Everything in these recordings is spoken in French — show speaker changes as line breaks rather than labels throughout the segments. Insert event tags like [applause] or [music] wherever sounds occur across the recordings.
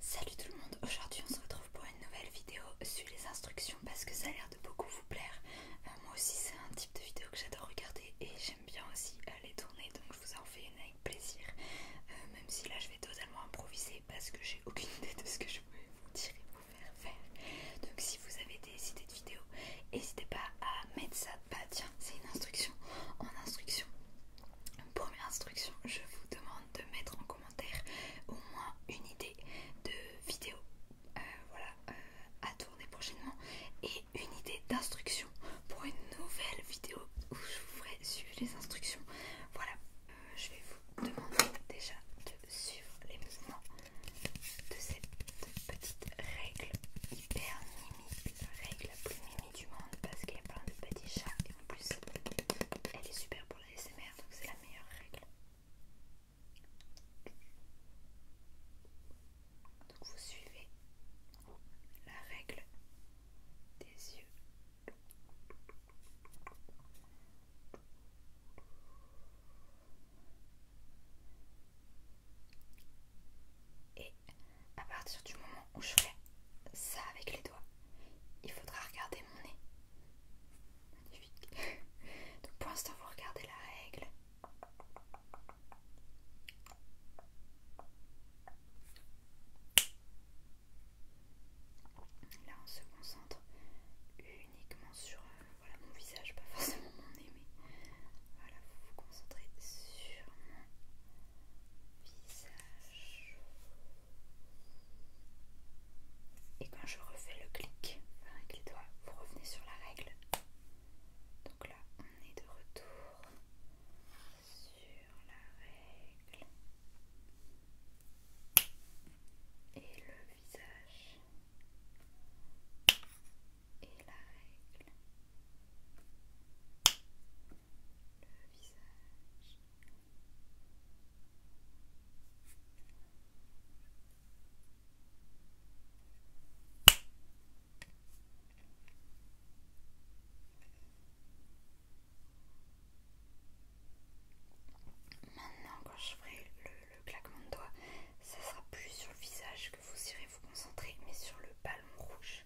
Salut tout le monde, aujourd'hui on se retrouve pour une nouvelle vidéo sur les instructions parce que ça a l'air de beaucoup vous plaire. Euh, moi aussi c'est un type de vidéo que j'adore regarder et j'aime bien aussi aller tourner donc je vous en fais une avec plaisir. Euh, même si là je vais totalement improviser parce que j'ai aucune idée de ce que je vais vous dire et vous faire faire. Donc si vous avez des idées de vidéos, n'hésitez pas à mettre ça. Bah tiens, c'est une instruction en instruction. Première instruction, je vous demande de mettre en commentaire au moins une idée de vidéo euh, voilà, euh, à tourner prochainement et une idée d'instruction pour une nouvelle vidéo où je vous ferai suivre les instructions. Voilà, euh, je vais vous demander déjà de suivre les mouvements de cette petite règle hyper mimique, règle plus du monde parce qu'il y a plein de petits chats et en plus elle est super pour la SMR donc c'est la meilleure règle. Donc vous suivez la règle des yeux. Et à partir du moment où je fais ça avec les doigts, il faudra regarder mon nez. Magnifique. [laughs] Donc pour l'instant, vous regardez la règle. Là, on se concentre uniquement sur euh, mon visage, pas [laughs] forcément mon nez, mais voilà, vous vous concentrez sur mon visage. Et eh quand ben, je refais le clic avec les doigts, vous revenez sur la règle. Donc là, on est de retour sur la règle. Et le visage. Et la règle. Le visage. Maintenant, quand je ferai le, claquement de doigts, ça sera plus sur le visage que vous irez vous concentrer, mais sur le ballon rouge.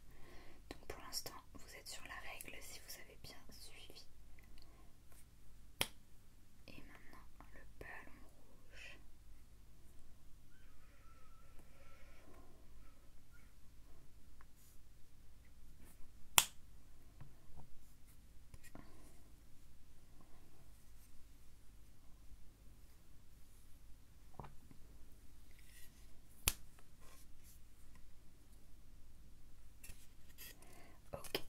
Donc pour l'instant, vous êtes sur la règle si vous avez bien suivi. Et maintenant, le ballon rouge. Ok,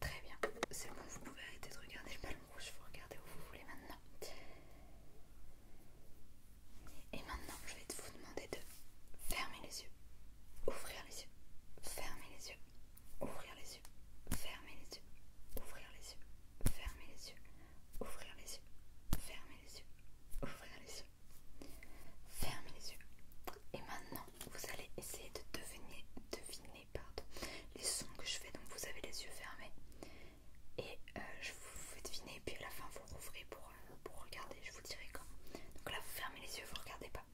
très bien. C'est bon, vous pouvez arrêter de regarder le palme rouge, vous regardez où vous voulez maintenant. Et maintenant, je vais vous demander de fermer les yeux, ouvrir les yeux, fermer les yeux, ouvrir les yeux, fermer les yeux, ouvrir les yeux, fermer les yeux, ouvrir les yeux, fermer les yeux, ouvrir les yeux, Fermez les yeux. Et maintenant, vous allez essayer de deviner, deviner pardon, les sons que je fais. Donc vous avez les yeux fermés. Et euh, je vous fais deviner. Et puis à la fin, vous rouvrez pour, euh, pour regarder. Je vous dirai comment, Donc là, vous fermez les yeux, vous regardez pas.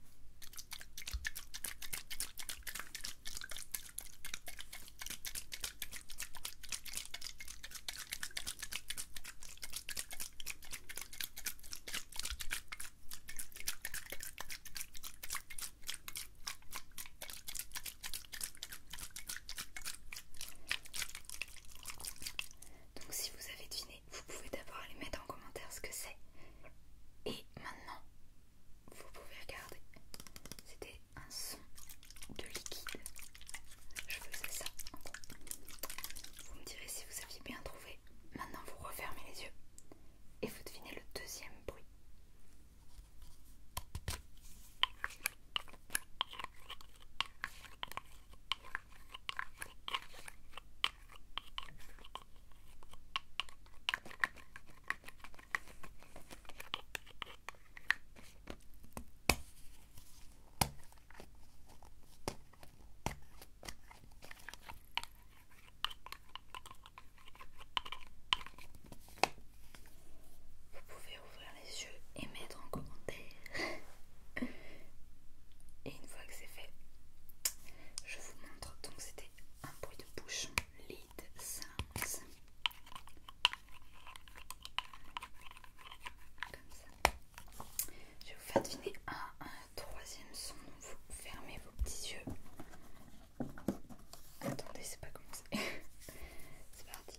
Donc si vous avez deviné, vous pouvez d'abord aller mettre en commentaire ce que c'est. Et maintenant, vous pouvez regarder. C'était un son de liquide. Je faisais ça. Vous me direz si vous aviez bien trouvé. Maintenant, vous refermez les yeux et vous devinez le deuxième bruit. Vous pouvez ouvrir les yeux et mettre en commentaire. [laughs] et une fois que c'est fait, je vous montre. Donc c'était un bruit de bouche, Lead sounds. Comme ça. Je vais vous faire deviner un, troisième son. Vous fermez vos petits yeux. Attendez, c'est pas commencé, [laughs] c'est parti.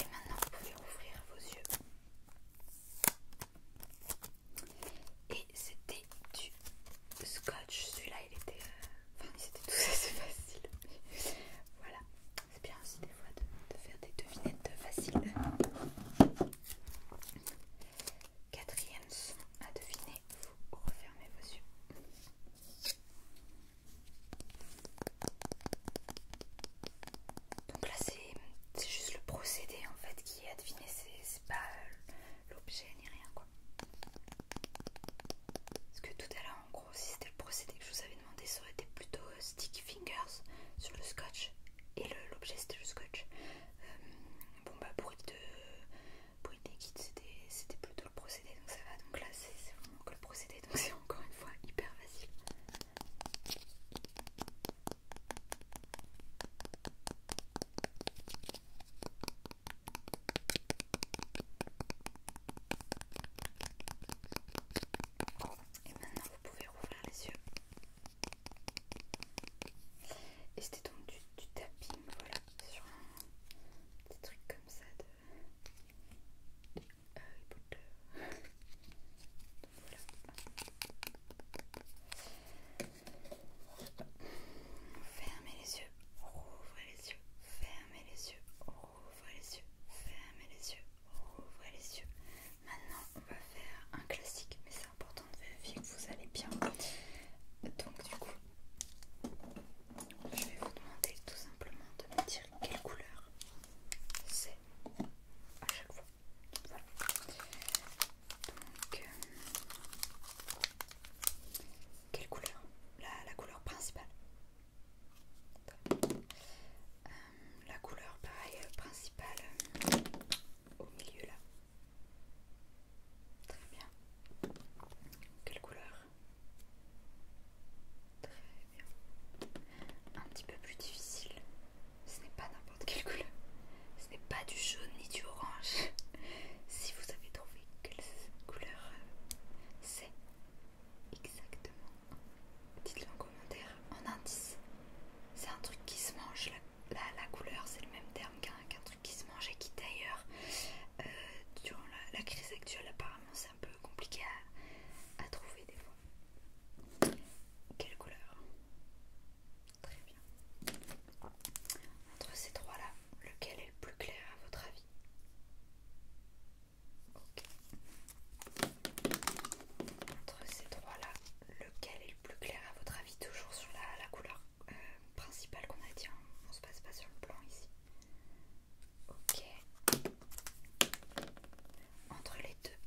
Et maintenant, vous pouvez ouvrir vos yeux. Et c'était du scotch. Celui-là, il était. Euh, enfin, c'était tout assez [laughs] facile. voilà. C'est bien aussi des fois de faire des devinettes faciles. Quatrième son à deviner. Vous refermez vos yeux. Donc là, c'est juste le procédé en fait qui est à deviner, c'est pas euh, l'objet ni rien quoi. Parce que tout à l'heure, en gros, si c'était le procédé que je vous avais demandé, ça aurait été plutôt euh, sticky fingers sur le scotch et l'objet c'était le scotch. Euh, bon, bah, bruit de bruit c'était plutôt le procédé donc ça va. Donc là, c'est vraiment que le procédé donc c'est encore une fois hyper facile. Et maintenant vous pouvez rouvrir les yeux. Et c'était donc du, du tapping, voilà, sur un petit truc comme ça de Fermez les yeux, ouvrez les yeux, fermez les yeux, rouvrez les yeux, fermez les yeux, ouvrez les yeux. Maintenant, on va faire un classique, mais c'est important de vérifier que vous allez bien. Donc, du coup, je vais vous demander tout simplement de me tirer quelle couleur c'est à chaque fois. Voilà. Donc, euh, quelle couleur la, couleur principale. Euh, la couleur pareil euh, principale au milieu là. Très bien. Quelle couleur Très bien. Un petit peu plus difficile. Ce n'est pas n'importe quelle couleur. Ce n'est pas du jaune ni du orange. [laughs] si vous avez trouvé quelle couleur euh, c'est exactement, dites-le en commentaire, en indice. C'est un truc qui se mange. La, couleur, c'est le même terme qu'un truc qui se mange et qui d'ailleurs, euh, durant la, la crise actuelle, apparemment, un peu compliqué à, trouver des fois. Quelle couleur Très bien. Entre ces trois-là, lequel est le plus clair à votre avis Ok. Entre ces trois-là, lequel est le plus clair à votre avis Toujours sur la, couleur euh, principale qu'on a dit, hein. on, ne se passe pas sur le blanc ici. Ok. Entre les deux,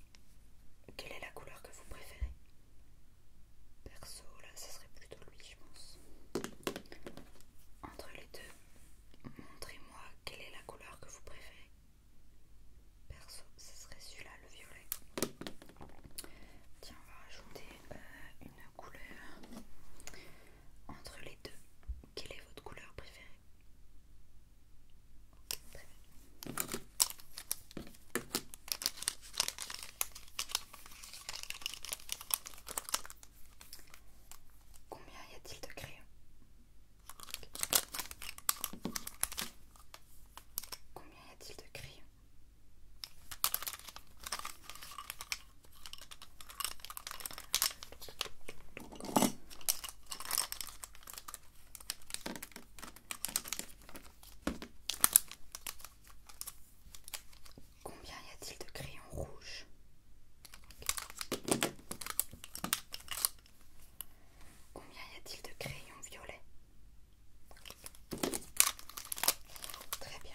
quelle est la couleur que vous préférez Perso, là, ce serait plutôt lui, je pense. Entre les deux, montrez-moi quelle est la couleur que vous préférez. Perso, ce serait celui-là, le violet. Tiens, on va rajouter euh, une couleur. Entre les deux, quelle est votre couleur préférée Combien y a-t-il de crayons Combien y a-t-il de crayons Combien y a-t-il de crayons rouges Combien y a-t-il de crayons violets Très bien.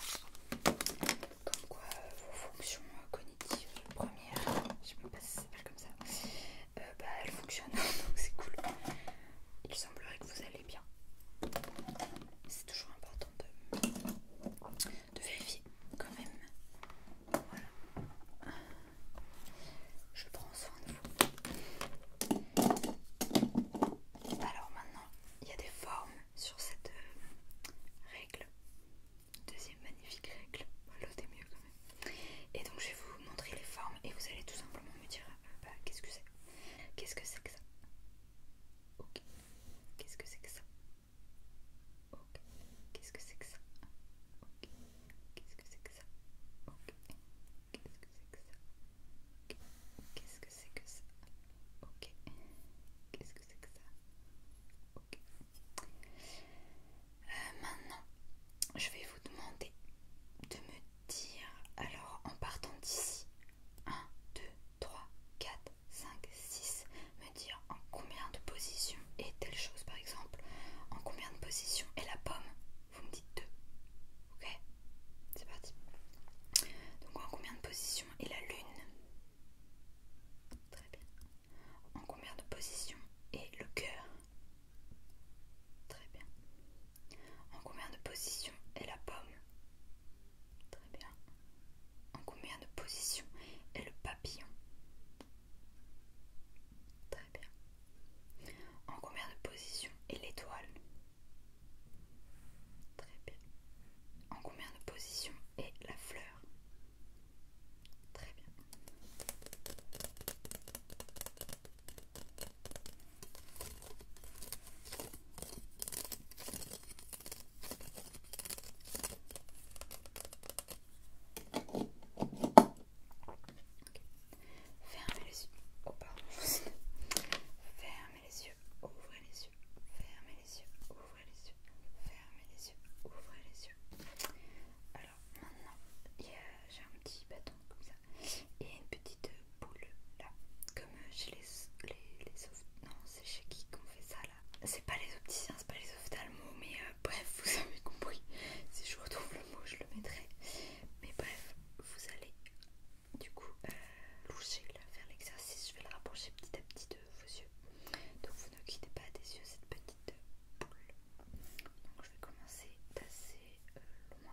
Comme quoi euh, vos fonctions euh, Première, je sais même pas si ça s'appelle comme ça. Euh, bah, elle fonctionne, [laughs] donc c'est cool. Il semblerait que vous allez bien. C'est toujours important de, vérifier quand même. Voilà. Je prends soin de vous. Alors maintenant, il y a des formes sur cette euh, règle. Deuxième magnifique règle, bah, l'autre est mieux quand même. Et donc je vais vous montrer les formes et vous allez tout simplement me dire euh, bah, qu'est-ce que c'est Qu'est-ce que c'est que ça Ok. Qu'est-ce que c'est que ça Ok. Qu'est-ce que c'est que ça Ok. Qu'est-ce que c'est que ça Ok. Qu'est-ce que c'est que ça Ok. Qu'est-ce que c'est que ça Ok. Qu'est-ce que c'est que ça Ok. Euh, maintenant, je vais vous demander de me dire, alors en partant d'ici, 1, 2, 3, 4, 5, 6, me dire en combien de positions est telle chose par exemple, en combien de positions est la pomme, vous me dites 2, ok C'est parti. Donc en combien de positions est la lune Très bien en combien de positions est le cœur Très bien. En combien de positions est la pomme Très bien. En combien de positions est le papillon Très bien. En combien de positions est l'étoile Très bien. En combien de positions est la fleur Très bien. Okay. Fermez les yeux. Oh pardon. [laughs] Fermez les yeux. Ouvrez les yeux. Fermez les yeux. Ouvrez les yeux, fermez les yeux, ouvrez les yeux. Alors maintenant, j'ai un petit bâton comme ça et une petite euh, boule là, comme euh, chez les, les, Non, c'est chez qui qu'on fait ça là C'est pas les opticiens, c'est pas les ophtalmos, mais euh, bref, [laughs] vous avez compris. Si je retrouve le mot, je le mettrai. Mais bref, vous allez du coup loucher faire l'exercice. Je vais le rapprocher petit à petit vos yeux. Donc vous ne quittez pas des yeux cette petite boule. Donc je vais commencer assez euh, loin.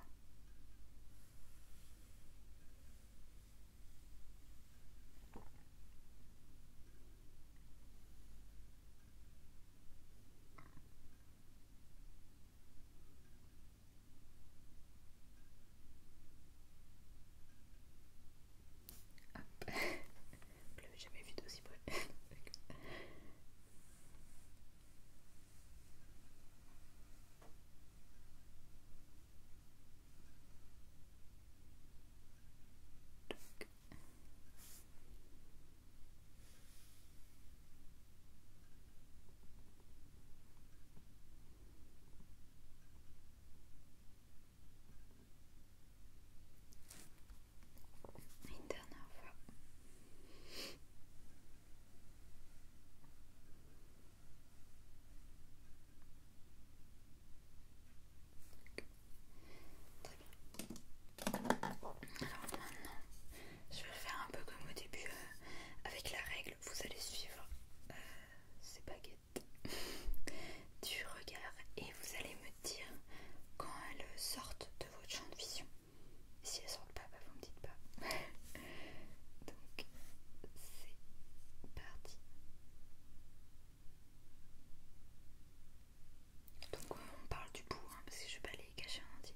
[laughs] bleu, l'avais jamais vu d'aussi bleu. Une dernière fois. Très bien. Alors maintenant, je vais faire un peu comme au début euh, avec la règle. Vous allez suivre euh, ces baguettes du regard et vous allez me dire quand elles sortent de votre champ de vision. Si elles sortent pas, bah, vous me dites pas. [laughs] Donc c'est parti. Donc on parle du bout hein, parce que je vais pas les cacher un entier.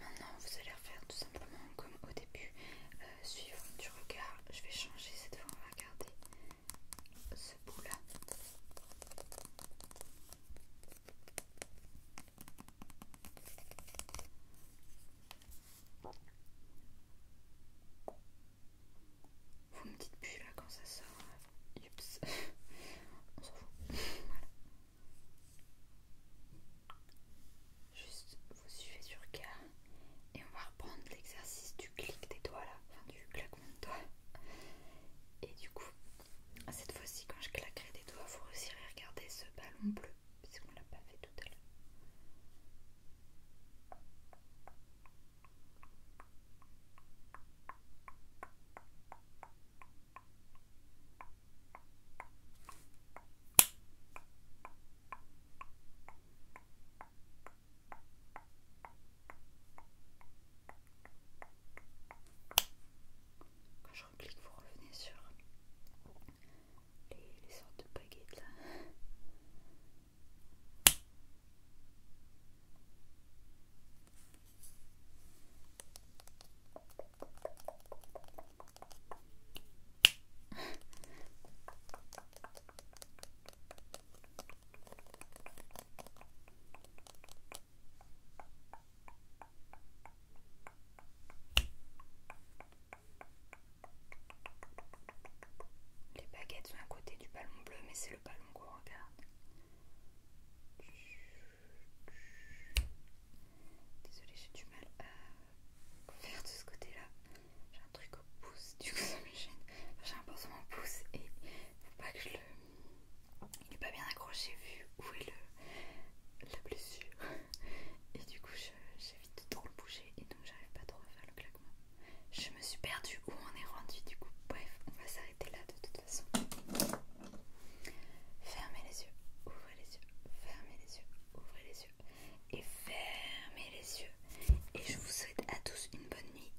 Maintenant, vous allez refaire tout simplement comme au début, euh, suivant du regard. Je vais changer cette fois, on va garder ce bout là. Vous me dites plus là quand ça sort. Euh, oups, [laughs] on s'en fout. [laughs] voilà. Juste, vous suivez sur K et on va reprendre l'exercice du clic des doigts là, enfin du claquement de doigts. Et du coup, cette fois-ci, quand je claquerai des doigts, vous réussirez à regarder ce ballon bleu, puisqu'on qu'on l'a pas fait tout à l'heure. Quand je reclique, vous revenez sur les, sortes de baguettes les baguettes sont à côté du ballon bleu, mais c'est le ballon qu'on regarde. Désolée, j'ai du mal à faire de ce côté-là. J'ai un truc au pouce, du coup ça me gêne. j'ai un pinceau au pouce et faut pas que je le. Il n'est pas bien accroché vu où est le... la blessure. Et du coup, j'évite de trop le bouger et donc j'arrive pas trop à faire le claquement. Je me suis perdue où on est rendu, du coup, bref, on va s'arrêter là de toute façon. Fermez les yeux, ouvrez les yeux, fermez les yeux, ouvrez les yeux, et fermez les yeux. Et je vous souhaite à tous une bonne nuit,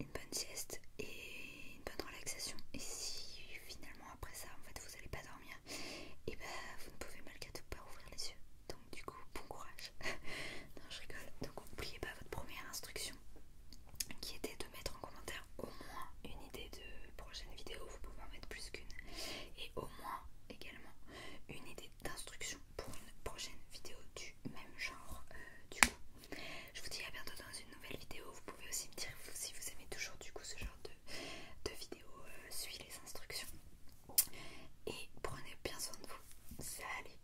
une bonne sieste et une bonne relaxation. Et si finalement après ça, en fait, vous n'allez pas dormir, et eh bah ben, vous ne pouvez malgré tout pas ouvrir les yeux. Donc du coup, bon courage. [laughs] non, je rigole. Donc n'oubliez pas votre première instruction qui était de mettre en commentaire au moins une idée de prochaine vidéo. Vous pouvez en mettre plus qu'une. Et au moins également une idée d'instruction pour une prochaine vidéo du même genre euh, du coup. Je vous dis à bientôt dans une nouvelle vidéo. Vous pouvez aussi me dire si vous aimez toujours du coup ce genre de, vidéo. Euh, suivez les instructions. Et prenez bien soin de vous. Salut